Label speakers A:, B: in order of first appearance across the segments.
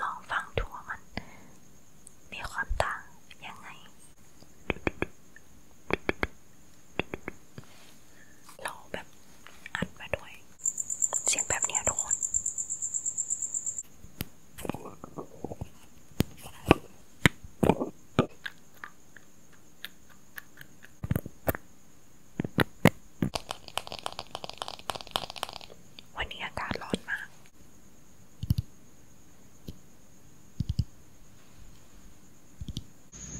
A: ลองฟังดูว่ามันมีความต่างยังไงเราแบบอัดมาด้วยเสียงแบบเนี้ยทุกคน วันนี้อากาศร้อนมาก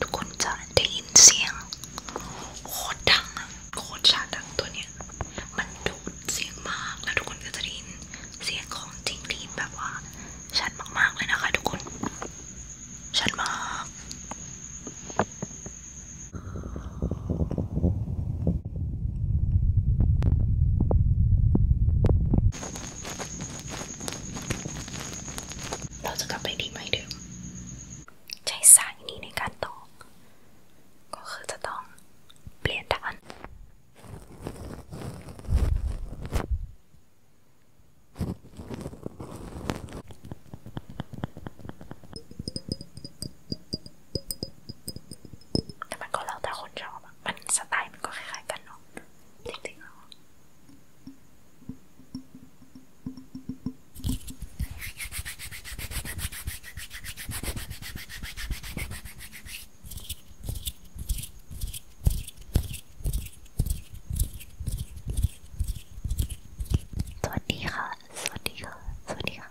A: ทุกคนจะได้ยินเสียงโคตรดัง โคตรชาดังตัวเนี้ยมันดูดเสียงมากแล้วทุกคนก็จะได้ยินเสียงของจริงที่แบบว่าชัดมากๆเลยนะคะทุกคนชัดมากเราจะกลับไปที่ไม่เดิมใช้สายนี้ในการตอกก็คือจะต้องเปลี่ยนด้านแต่มันก็แล้วแต่คนชอบอะมันสไตล์มันก็คล้ายๆกันเนาะจริงๆแล้วสวัสดีค่ะสวัสดีค่ะสวัสดีค่ะ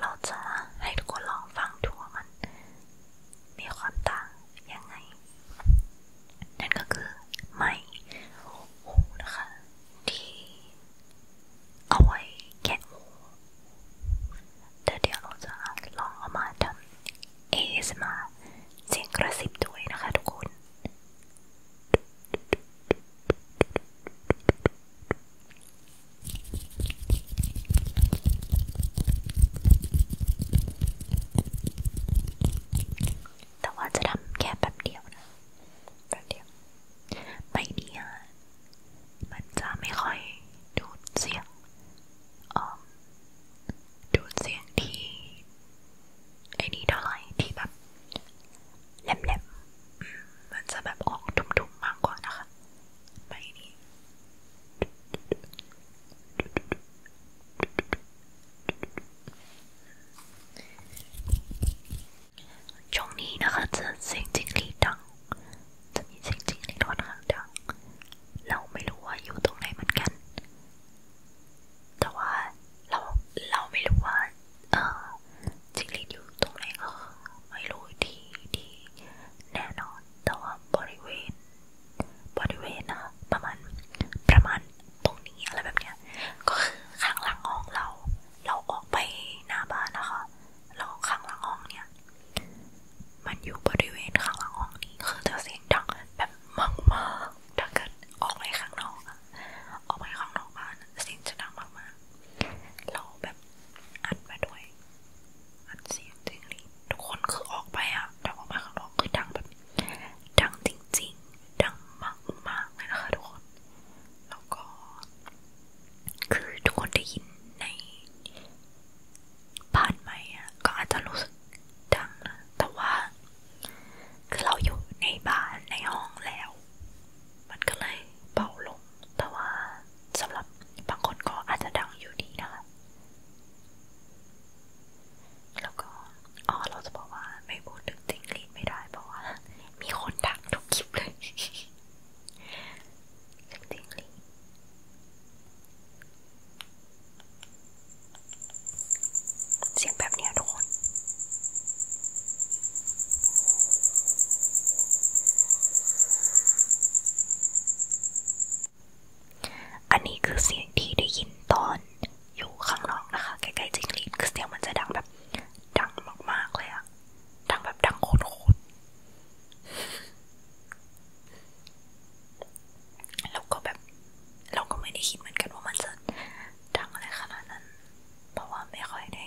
A: เราจะให้ทุกคนลองฟังดูว่ามันมีความต่างยังไง นั่นก็คือไม้หูนะคะ ที่เอาไว้แกะหูแต่เดี๋ยวเราจะลองเอามาทำเอสมาเสียงกระซิบด้วยนะคะทุกคน Thank you. แต่ว่าจะทำแค่แป๊บเดียวนะแป๊บเดียวใบเนี้ยมันจะไม่ค่อยดูดเสียงออดูดเสียงที่ไอ้นี้เท่าไหร่ที่แบบ แหลมๆมันจะแบบออกทุ่มๆมากกว่านะคะใบนี้ช่วงนี้นะคะจะเสียงจริงหรีดดัง จะมีเสียงจริงหรีดค่อนข้างดังเราไม่รู้ว่าอยู่ตรงไหนเหมือนกัน แต่ว่าเราเราไม่รู้ว่าเออจิงหรีดอยู่ตรงไหนก็ไม่รู้ที่ที่แน่นอนแต่ว่าบริเวณบริเวณนะประมาณประมาณตรงนี้อะไรแบบเนี้ยก็คือข้างหลังห้องเรา เราออกไปหน้าบ้านนะคะแล้วข้างหลังห้องเนี่ยมันอยู่บริเวณข้างหลังห้องนี้คือจะเสียงดังแบบมากๆถ้าเกิดออกไปข้างนอกอะออกไปข้างนอกบ้านเสียงจะดังมากๆเราแบบแบบอัดมาด้วย อัดเสียงจริงหรีทุกคนคือออกไปอะดังออกมาข้างนอกคือดังแบบดังจริงๆ ดังมากๆเลยนะคะทุกคนแล้วก็ คือทุกคนได้ยินใน ผ่านไหมอะก็อาจจะรู้สึกดังนะแต่ว่าคือเราอยู่ในบ้านในห้องแล้ว มันก็เลยเบาลงแต่ว่าสำหรับบางคนก็อาจจะดังอยู่ดีนะคะ แล้วก็อ๋อเราจะบอกว่าไม่พูดถึงจิงลีดไม่ได้ เพราะว่ามีคนดังทุกคลิปเลยจิงลีดเสียงแบบเนี้ยทุกคนอันนี้คือเสียงที่ได้ยินตอนอยู่ข้างนอกนะคะใกล้ๆจิ้งหรีดคือเสียงมันจะดังแบบดังมากๆเลยอะดังแบบดังโคตรเราก็แบบเราก็ไม่ได้คิดเหมือนกันว่ามันจะดังอะไรขนาดนั้น เพราะว่าไม่ค่อยได้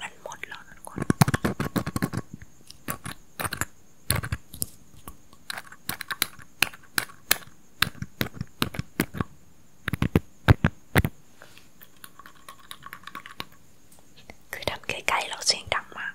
A: มันหมดแล้วทุกคน คือทำใกล้ๆ เราเสียงดังมาก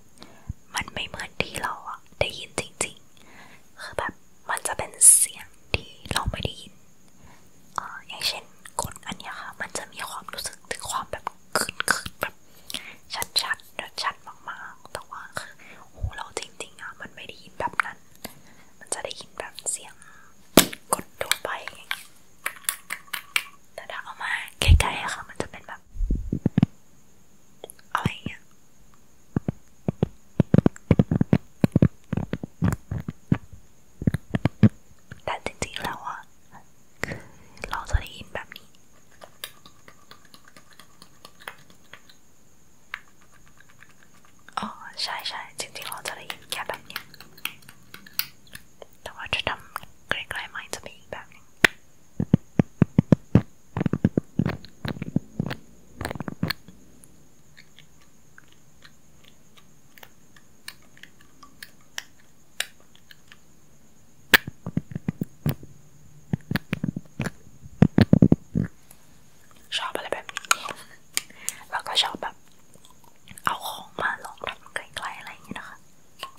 A: มันไม่เหมือนที่เราอะได้ยินจริงๆ คือแบบมันจะเป็นเสียงที่เราไม่ได้ยินออย่างเช่นกดอันนี้ค่ะ มันจะมีความรู้สึกถึงความแบบขึ้นขึ้นแบบชัดๆชัดมากๆ แต่ว่าคือโอ้เราจริงๆอะมันไม่ได้ยินแบบนั้น มันจะได้ยินแบบเสียงกดตัวไปแต่ถ้าเอามาใกล้ๆอะค่ะ มันจะเป็นแบบแบบอะไรเงี้ยแต่จริงๆแล้วอะคือเราจะได้ยินแบบนี้อ๋อใช่ใช่จริงๆเราจะได้ยินแค่แบบเนี้ยแต่ว่าจะทำใกล้ๆไม้จะเป็นอีกแบบนึงชอบอะไรแบบนี้แล้วก็ชอบแบบเอาของมาลองทำใกล้ๆอะไรอย่างเงี้ยนะคะ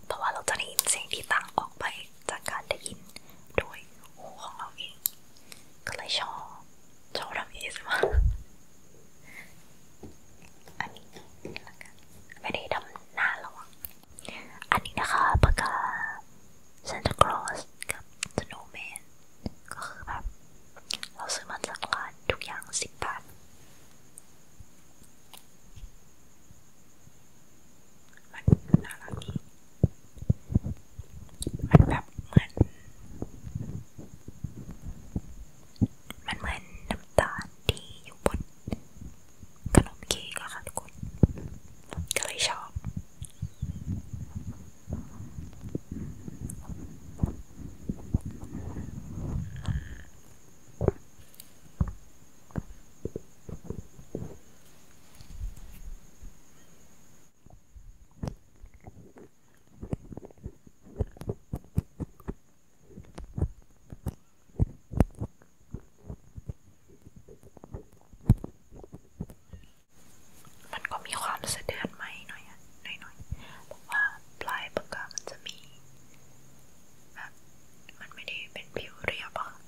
A: เพราะว่าเราจะได้ยินเสียงที่ต่างออกไปจากการได้ยินโดยหูของเราเอง ก็เลยชอบ ชอบทำเอสมาอันนี้ละกันไม่ได้ทำหน้าหรอกอันนี้นะคะปากกา Santa Claus กับ Snowman ก็คือแบบเราซื้อมาจากร้านทุกอย่างสิบบาทมันน่ารักดีมันแบบเหมือนมันเหมือนน้ำตาลที่อยู่บนขนมเค้กอะค่ะทุกคนก็เลยชอบมันก็มีความสะเดือนไหมหน่อยหน่อยหน่อยเพราะว่าปลายปากกามันจะมีแบบมันไม่ได้เป็นผิวเรียบอะ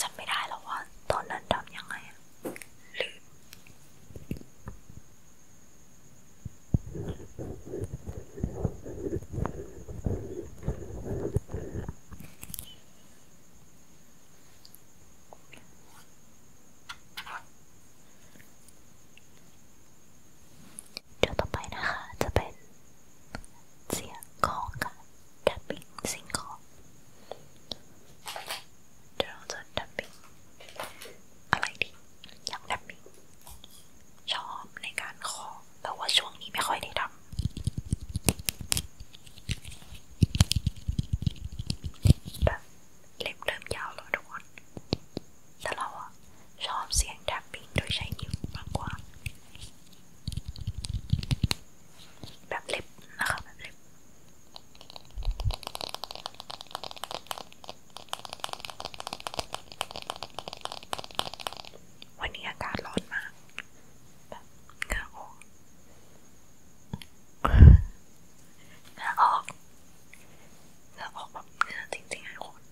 A: จำไม่ได้แล้วว่าตอนนั้นดำยังไงลืมเดี๋ยวต่อไปนะคะจะเป็น เสียงของการดับปิ้งสิ่งของเดี๋ยวเราจะดับปิ้งอะไรดีอยากดับปิ้งชอบในการขอแต่ว่าช่วงนี้ไม่ค่อยได้ทำแบบเล็บเริ่มยาวแล้วทุกคนแต่เราอะชอบเสียงแท็บปิ้งโดยใช้นิ้วมากกว่า แบบเล็บนะคะแบบเล็บ วันนี้อากาศร้อนมาก แบบเหงื่อออกเหงื่อออกเหงื่อออกแบบเหงื่อจริงๆให้คน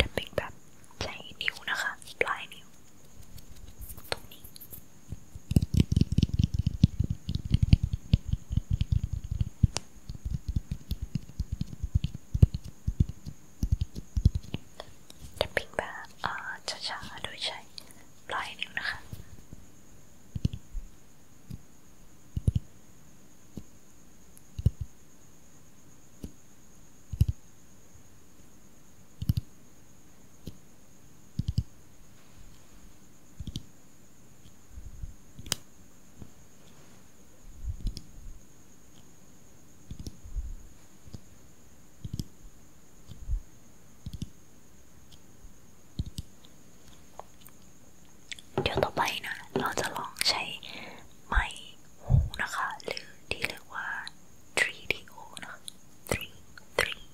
A: จะเป็นแบบใช้นิ้วนะคะปลายนิ้วตรงนี้จะปิดแบบอ่าช้าๆโดยใช้ปลายนิ้วนะคะเดี๋ยวต่อไปนะ เราจะลองใช้ไม้หูนะคะ หรือที่เรียกว่า 3DO นะ3 3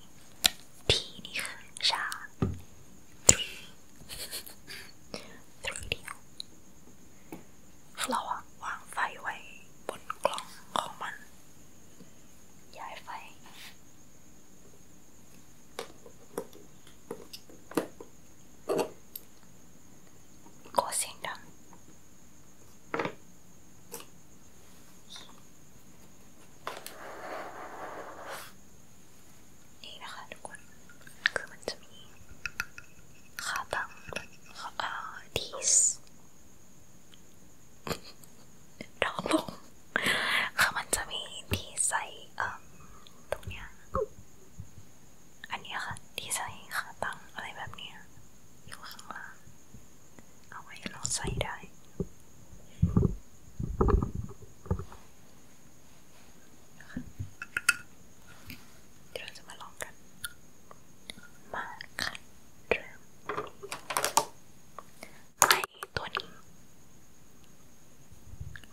A: T นี่คือชา3 3DO ให้เราวางไฟไว้บนกล่องของมัน ย้ายไฟกดเสียงดัง นี่นะคะทุกคน คือมันจะมีขาตั้งขาอาทีสดอกลงคือมันจะมีที่ใส่ตรงเนี้ยอันนี้ค่ะ ที่ใส่ขาตั้งอะไรแบบเนี้ยอยู่ข้างล่าง เอาไว้เราใส่ได้ เดี๋ยวเราจะมาลองกันเมาค่ะเริ่มไม้ตัวนี้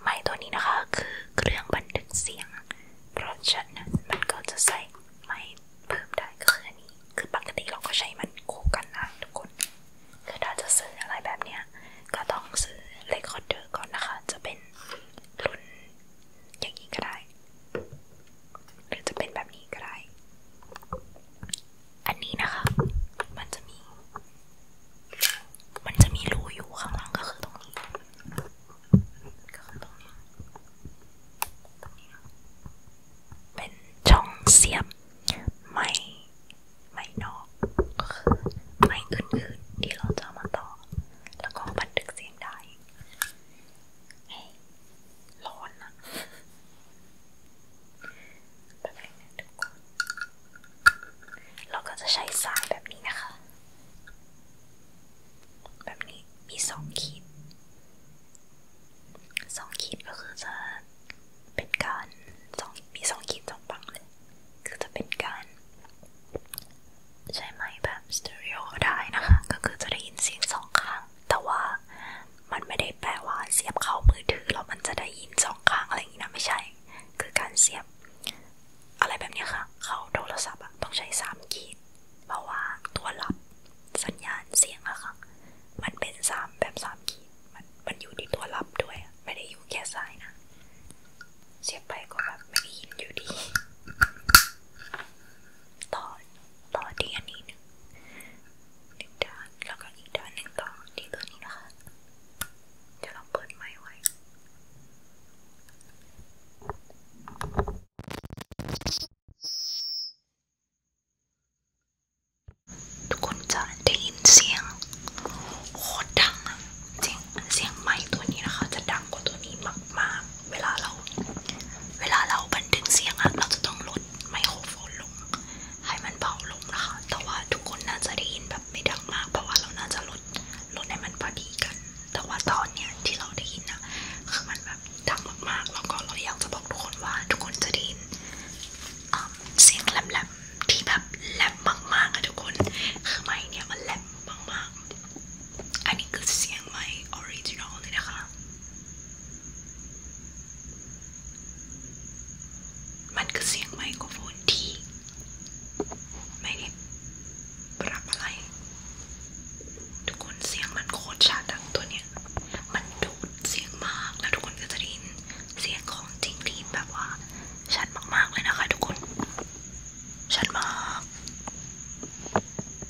A: ไม้ตัวนี้นะคะคือเครื่องบันทึกเสียงเพราะฉะนั้นมันก็จะใส่ไม้เพิ่มได้ก็คืออันนี้ คือปกติเราก็ใช้มันคู่กันนะ ทุกคน คือถ้าจะซื้ออะไรแบบเนี้ยก็ต้องซื้อเลคคอร์เดอร์ก่อนนะคะ จะเป็นรุ่นอย่างนี้ก็ได้หรือจะเป็นแบบนี้ก็ได้ อันนี้นะคะ มันจะมี มันจะมีรูอยู่ข้างหลังก็คือตรงนี้ ก็คือตรงนี้ตรงนี้ เป็นช่องเสียบไม้ไม้นอกก็คือไม้อื่นๆ ที่เราจะมาต่อ แล้วก็บันทึกเสียงได้เฮ้ยร้อนอะแบบนี้ทุกคนเราก็จะใช้สายแบบนี้นะคะ แบบนี้มีสองขีดสองขีดก็คือจะเป็นการสองมีสองขีดสองปังเลยคือจะเป็นการ ใช้ไม้แบบสเตอริโอได้นะคะ ก็คือจะได้ยินเสียงสองข้างแต่ว่ามันไม่ได้แปลว่าเสียบเข้ามือถือแล้วมันจะได้ยินสองข้างอะไรอย่างนี้นะไม่ใช่ คือการเสียบอะไรแบบนี้ค่ะ เข้าโทรศัพท์ต้องใช้3ขีดเพราะว่าตัวรับ สัญญาณเสียงอะค่ะมันเป็น3แบบ3ขีดมันมันอยู่ที่ตัวรับด้วยไม่ได้อยู่แค่สายนะเสียบไปก็แบบไม่ได้ยินอยู่ดีต่อต่อที่อันนี้หนึ่งหนึ่งด้านแล้วก็อีกด้านหนึ่งต่อที่ตัวนี้นะคะ จะลองเปิดไม้ไว้ ทุกคนจะได้ยินเสียงโคตรดังจริงเสียงไม้ตัวนี้นะคะ จะดังกว่าตัวนี้มากๆเวลาเราเวลาเราบันทึกเสียงอะเราจะต้องลดไมโครโฟนลง ให้มันเบาลงนะคะ แต่ว่าทุกคนน่าจะได้ยินแบบไม่ดังมาก เพราะว่าเราน่าจะลดลดให้มันพอดีกัน แต่ว่าตอนเนี้ยที่เราได้ยินอะคือมันแบบดังมากๆแล้วก็เราอยากจะบอกทุกคนว่าทุกคนจะได้ยิน เสียงแหลมๆที่แบบแหลมมากๆอะทุกคนคือไม้เนี่ยมันแหลมมากๆอันนี้คือเสียงไม้ออริจินอลเลยนะคะมันคือเสียงไมโครโฟนที่ไม่ได้ปรับอะไร ทุกคนเสียงมันโคตรชัดตัวเนี้ย มันดูดเสียงมากแล้วทุกคนก็จะได้ยินเสียงของจริงที่แบบว่าชัดมากๆเลยนะคะทุกคน ชัดมาก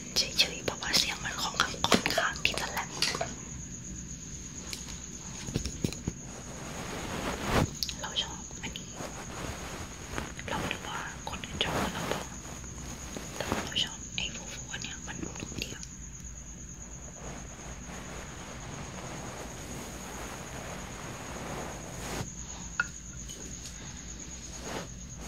A: มันเฉยๆเพราะว่าเสียงมันค่อนข้างค่อนข้างที่จะแหลมเราชอบอันนี้ เราดูว่าคนอื่นชอบเราบ้างแต่เราชอบไอ้ฟูฟูเนี่ยมันนุ่มดี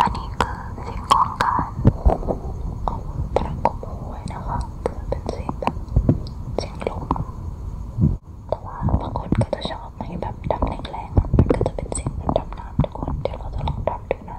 A: อันนี้คือสิ่งของการประกบหัวนะคะคือเป็นสิ่งแบบสิ่งลมแต่ว่าบางคนก็จะชอบให้แบบดำแรงๆมันก็จะเป็นสิ่งแบบดำน้ำทุกคนเดี๋ยวเราจะลองดำดูนะ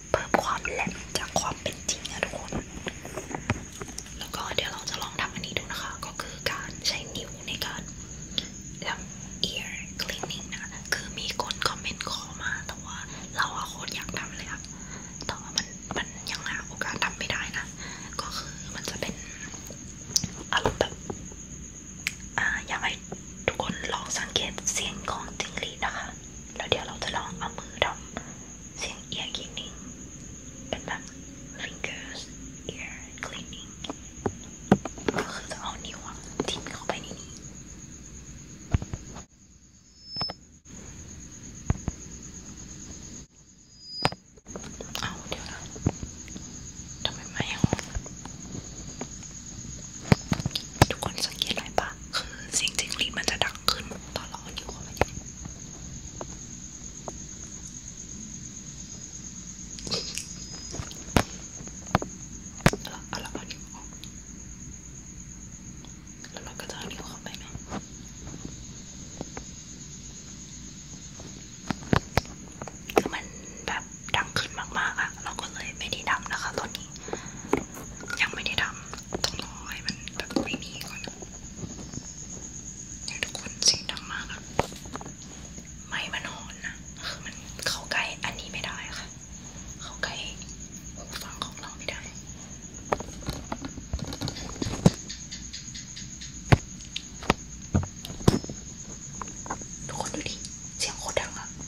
A: เพิ่มความแหลมจากความเป็นจริงนะทุกคน แล้วก็เดี๋ยวเราจะลองทำอันนี้ดูนะคะ ก็คือการใช้นิ้วในการทำ ear cleaning นะ คือมีคนคอมเมนต์ขอมา แต่ว่าเราอะโคตรอยากทำเลยอะแต่ว่ามันมันยังหาโอกาสทำไม่ได้นะ ก็คือมันจะเป็นอารมณ์แบบอ่าอยากให้ทุกคนลองสังเกตเสียงของจิงหรีดนะคะแล้วเดี๋ยวเราจะลองเอามือทำเสียง ear cleaning เป็นแบบ fingers ear cleaning ก็คือจะเอานิ้วจิ้มเข้าไปในนี้เอาเดี๋ยวนะทำไมไม่เอาทุกคนสังเกตอะไรปะคือเสียงจิ้งหรีดมันจะดังขึ้นตอนเราเอานิ้วเข้าไปอย่างนี้แล้วเอาเราเอานิ้วออกแล้วเราก็จะเอานิ้วเข้าไปไหมคือมันแบบดังขึ้นมากๆอะเราก็เลยไม่ได้ดับนะคะตอนนี้ยังไม่ได้ทำต้องรอให้มันแบบไม่มีก่อนเนี่ยทุกคนสีดำมากอะไม้มันหอนนะคือมันเข้าใกล้อันนี้ไม่ได้ค่ะ เข้าใกล้หูฟังของเราไม่ได้ ทุกคนดูดิ เสียงโคตรดังอะจริ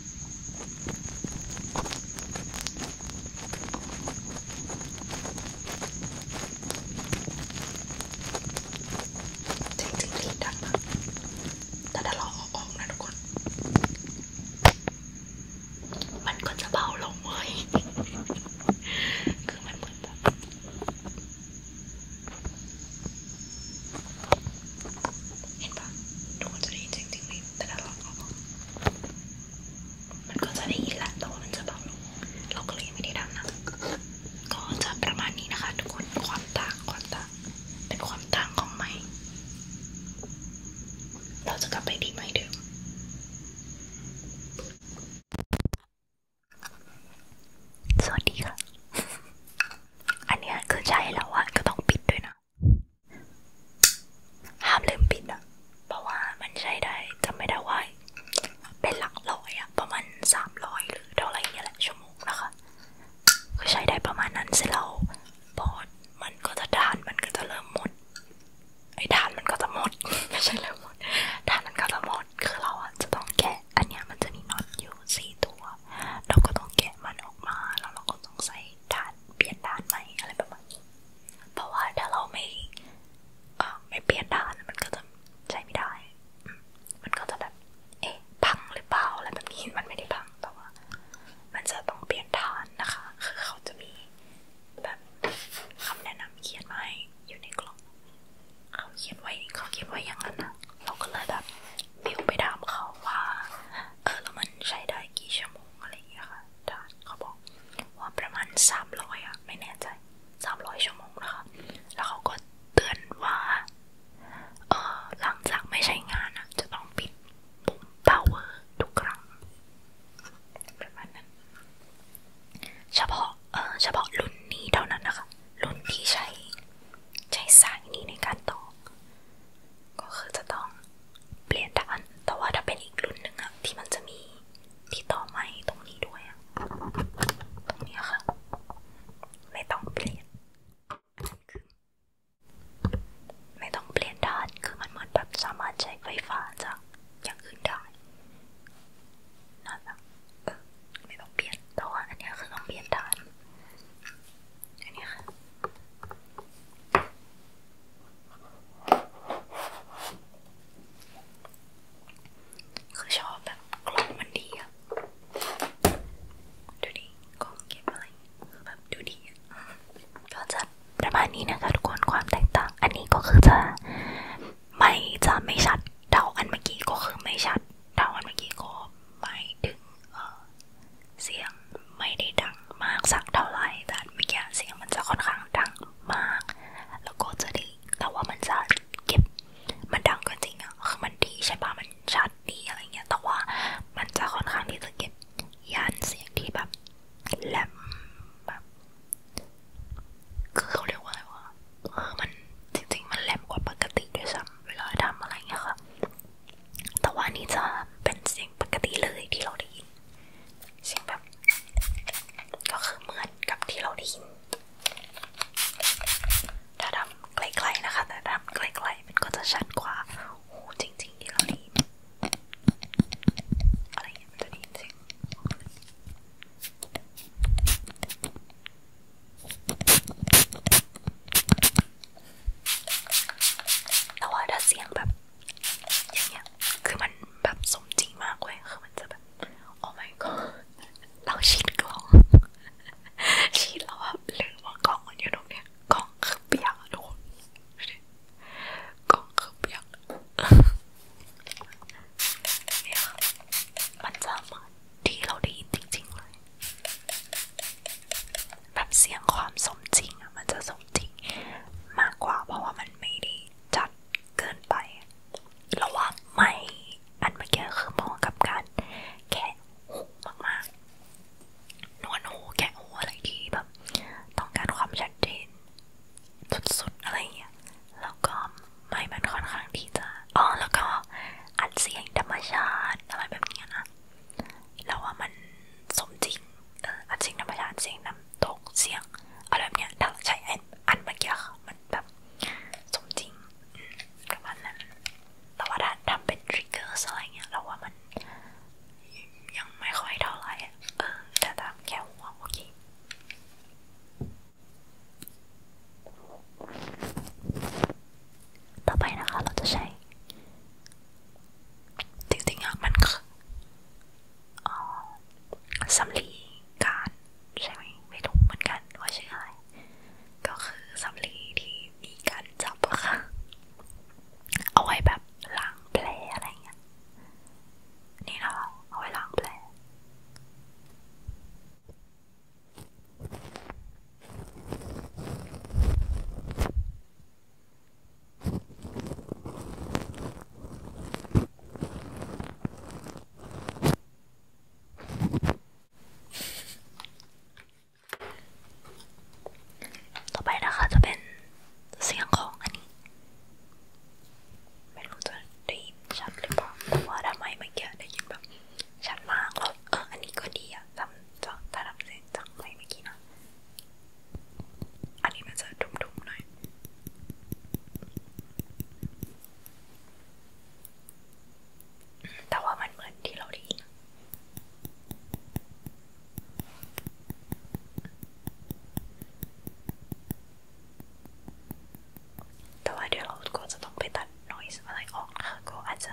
A: งๆรีบดังนะแต่ถ้าเราออกออกนะทุกคน มันก็จะเบาลงเว้ยคือมันเหมือนแบบเห็นปะทุกคนจะได้ยินเสียงจริงไหมแต่ถ้าเราเอามันก็จะได้ยินแหละ แต่ว่ามันจะเบาลงเราก็เลยไม่ได้ดังนะ ก็จะประมาณนี้นะคะ ทุกคน ความต่างความต่างเป็นความต่างของไม้ เราจะกลับไปที่ไม้เดิมสวัสดีค่ะ อันนี้คือใช้แล้วอะก็ต้องปิดด้วยนะห้ามลืมปิดอะเพราะว่ามันใช้ได้จำไม่ได้ว่าเป็นหลักร้อยอะประมาณสามร้อยหรือเท่าไหร่เนี่ยแหละชั่วโมงนะคะ ก็ใช้ได้ประมาณนั้นเสร็จแล้วบอดมันก็จะทาน มันก็จะเริ่มหมด ไอ้ทานมันก็จะหมด ไม่ใช่เริ่มหมด ทานมันก็จะหมด คือเราอะจะต้องแกะอันเนี้ยมันจะมีน็อตอยู่สี่ตัว เราก็ต้องแกะมันออกมาแล้วเราก็ต้องใส่ทานานเปลี่ยนด้านไหมอะไรประมาณนี้เพราะว่าถ้าเราไม่ ไม่เปลี่ยนด้านมันก็จะใช้ไม่ได้ มันก็จะแบบ เอ๊ะพังหรือเปล่าอะไรแบบนี้ มันไม่ได้พังแต่ว่า มันจะต้องเปลี่ยนด้านนะคะ คือเขาจะมีแบบคำแนะนำเขียนไว้อยู่ในกล่องเขาเขียนไว้เขาเขียนไว้อย่างนั้นนะเราก็เลยแบบบิวไปถามเขาว่าเออแล้วมันใช้ได้กี่ชั่วโมงวโมงอะไรอย่างเงี้ยค่ะถ้าเขาบอกว่าประมาณสามร้อยอะไม่แน่ใจสามร้อยชั่วโมงนะคะ แล้วเขาก็เตือนว่าเออหลังจากไม่ใช้งานอะจะต้องปิดปุ่ม power ทุกครั้งประมาณนั้นเฉพาะเออเฉพาะรุ่นนี้เท่านั้นนะคะ รุ่นที่ใช้ใช้สายนี้ในการต่อก็คือจะต้องเปลี่ยนด้านแต่ว่าถ้าเป็นอีกรุ่นหนึ่งอะที่มันจะมีที่ต่อไม้ตรงนี้ด้วยอะตรงนี้ค่ะ ไม่ต้องเปลี่ยนอันนั้นคือไม่ต้องเปลี่ยนด้านคือมันเหมือนแบบสามารถใช้ไฟฟ้าจาก อย่างอื่นได้น่าจะเออไม่ต้องเปลี่ยนแต่ว่าอันนี้คือต้องเปลี่ยนด้านอันนี้ค่ะคือชอบแบบกล้องมันดีอะดูดิ กล้องเก็บอะไรคือแบบดูดีอะก็จะประมาณนี้นะคะทุกคนความแตกต่าง อันนี้ก็คือจะไม่จะไม่ชัด เดาอันเมื่อกี้ก็คือไม่ชัด เดาอันเมื่อกี้ก็ไม่ถึงเสียงไม่ได้ดังมากสักเท่าไหร่แต่เมื่อกี้เสียงมันจะค่อนข้างดังมาก แล้วก็จะดีแต่ว่ามันจะเก็บ มันดังก็จริงอะคือมันดีใช่ปะมันชัดดีอะไรเงี้ยแต่ว่ามันจะค่อนข้างที่จะเก็บย่านเสียงที่แบบแหลมแบบคือเขาเรียกว่าอะไรวะเออมันจริงๆมันแหลมกว่าปกติ ด้วยซ้ำเวลาทำอะไรเงี้ยค่ะแต่ว่านี่จะเป็นเสียงปกติเลยที่เราได้ยินเสียงแบบ ก็คือเหมือนกับที่เราได้ยินถ้าทำไกลๆนะคะแต่ทำไกลๆมันก็จะชัดกว่าโอ้จริงๆที่เราได้ยินอะไรอย่างเงี้ยมันจะได้ยินเสียงแต่ว่าถ้าเสียงแบบอย่างเงี้ยคือมันแบบสมจริงมากเว้ยคือมันจะแบบโอ้ my god เราชิดกล้อง ชิดแล้วว่าลืมว่ากล้องมันอยู่ตรงเนี้ยกล้องคือเปียกทุกคนกล้องคือเปียกเนี่ยมันจะเหมือนที่เราได้ยินจริงๆเลยแบบเสียงความสมจริงอะมันจะสมจริงมากกว่าเพราะว่ามันไม่ได้จัดเกินไประหว่างไม่อันเมื่อกี้คือมองกับการแคะหูมากๆ นวดหูแคะหูอะไรที่แบบต้องการความชัดเจนสุดๆ อะไรอย่างเงี้ยแล้วก็ไม่มันค่อนข้างที่จะอ๋อแล้วก็อัดเสียงธรรมชาติอะไรแบบนี้นะเราว่ามันสมจริงเอออัดเสียงธรรมชาติเสียงน้ำตกเสียงอะไรแบบเนี้ยถ้าใช้อันเมื่อกี้ค่ะมันแบบสมจริงกับอันนั้นแต่ว่าถ้าทำเป็นทริกเกอร์อะไรเงี้ยเราว่ามันยังไม่ค่อยเท่าไหร่เออแต่ตามแค่หัวโอเค ต่อไปนะคะ เราจะใช้จริงๆอ่ะมันคือสำลีการใช่ไหมไม่รู้เหมือนกันว่าชื่ออะไรก็คือสำลีที่มีการจับอะค่ะเอาไว้แบบล้างแผลอะไรเงี้ยนี่นะเอาไว้ล้างแผลต่อไปนะคะจะเป็นเสียงของอันนี้ไม่รู้จะได้ยินชัดหรือเปล่าแต่ว่าทำไมเมื่อกี้ได้ยินแบบชัดมากแล้วเอออันนี้ก็ดีอะจำจะถ้าจำเสียงจากเพลงเมื่อกี้นะอันนี้มันจะดุมๆหน่อยแต่ว่ามันเหมือนที่เราได้ยินแต่ว่าเดี๋ยวเราก็จะต้องไปตัด noise อะไรออกนะคะก็อาจจะ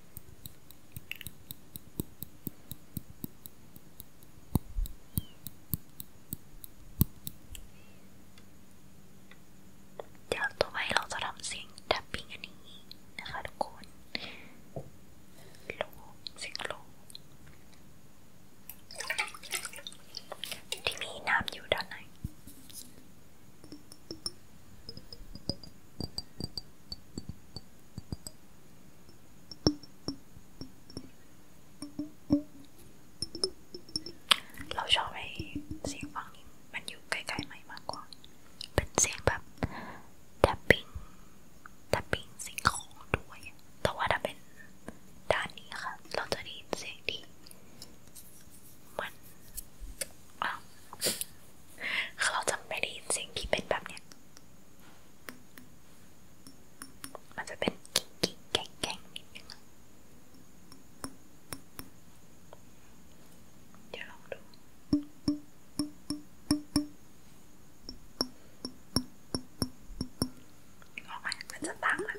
A: เดี๋ยวต่อไปเราจะทำเสียงดับปิ้งอันนี้นะคะทุกคนโลเสียงโลที่มีน้ำอยู่ด้านในเราชอบไอ้เสียงฟังนี้มันอยู่ใกล้ๆไหมมากกว่า เป็นเสียงแบบดับปิ้งดับปิ้งสิ่งของด้วย แต่ว่าถ้าเป็นด้านนี้ค่ะเราจะได้ยินเสียงที่มันคือเราจะไม่ได้ยินเสียงที่เป็นแบบเนี้ย มันจะเป็นกิ๊กกิ๊กแกงแกงนิดนึงเดี๋ยวลองดูออกมามันจะตั้งละ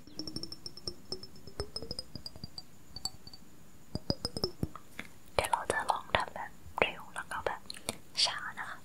A: เดี๋ยวเราจะลองทำแบบเร็วแล้วก็แบบช้านะคะเ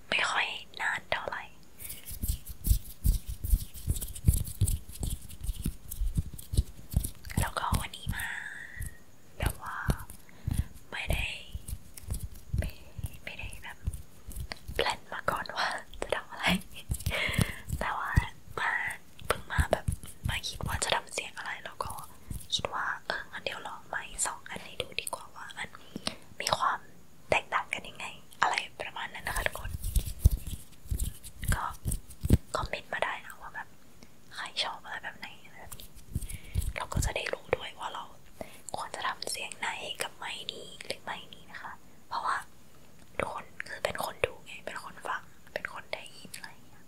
A: ไม่ค่อยนานเท่าไหร่แล้วก็วันนี้มาแบบว่าไม่ได้ ไม่ไม่ได้แบบแพลนมาก่อนว่าจะทำอะไร แต่ว่ามาเพิ่งมาแบบมาคิดว่าจะทำเสียงอะไรแล้วก็คิดว่าเอองั้นเดี๋ยวลองใหม่สองอันนี้ดูดีกว่าว่ามันมีความแตกต่างกันยังไง อะไรประมาณนั้นนะคะทุกคน ก็คอมเมนต์มาได้นะว่าแบบใครชอบอะไรแบบไหนแบบนี้เราก็จะได้รู้ด้วยว่าเราควรจะทำเสียงไหนกับไม้นี้หรือไม้นี้นะคะ เพราะว่าทุกคนคือเป็นคนดูไง เป็นคนฟัง เป็นคนได้ยินอะไรอย่างเงี้ย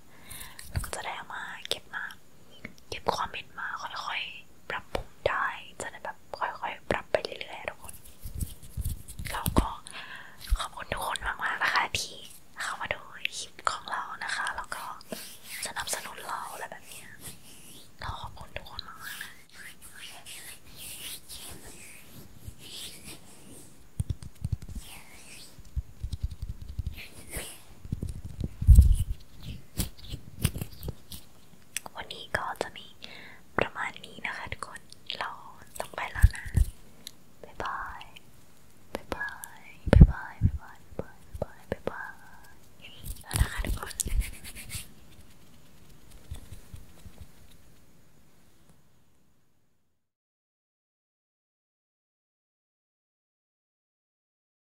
A: เราก็จะได้เอามาเก็บมาเก็บคอมเมนต์มาค่อยๆปรับปรุงได้จะได้แบบค่อยๆปรับไปเรื่อยๆทุกคนแล้วก็ขอบคุณทุกคนมากๆนะคะที่เข้ามาดูคลิปของเรานะคะแล้วก็สนับสนุนเราอะไรแบบเนี้ยเราขอบคุณทุกคนมากๆนะวันนี้ก็จะมีประมาณนี้นะคะทุกคน เราต้องไปแล้วนะ บ๊ายบาย บ๊ายบายบ๊ายบายบ๊ายบายบ๊ายบายบ๊ายบาย แล้วนะคะทุกคน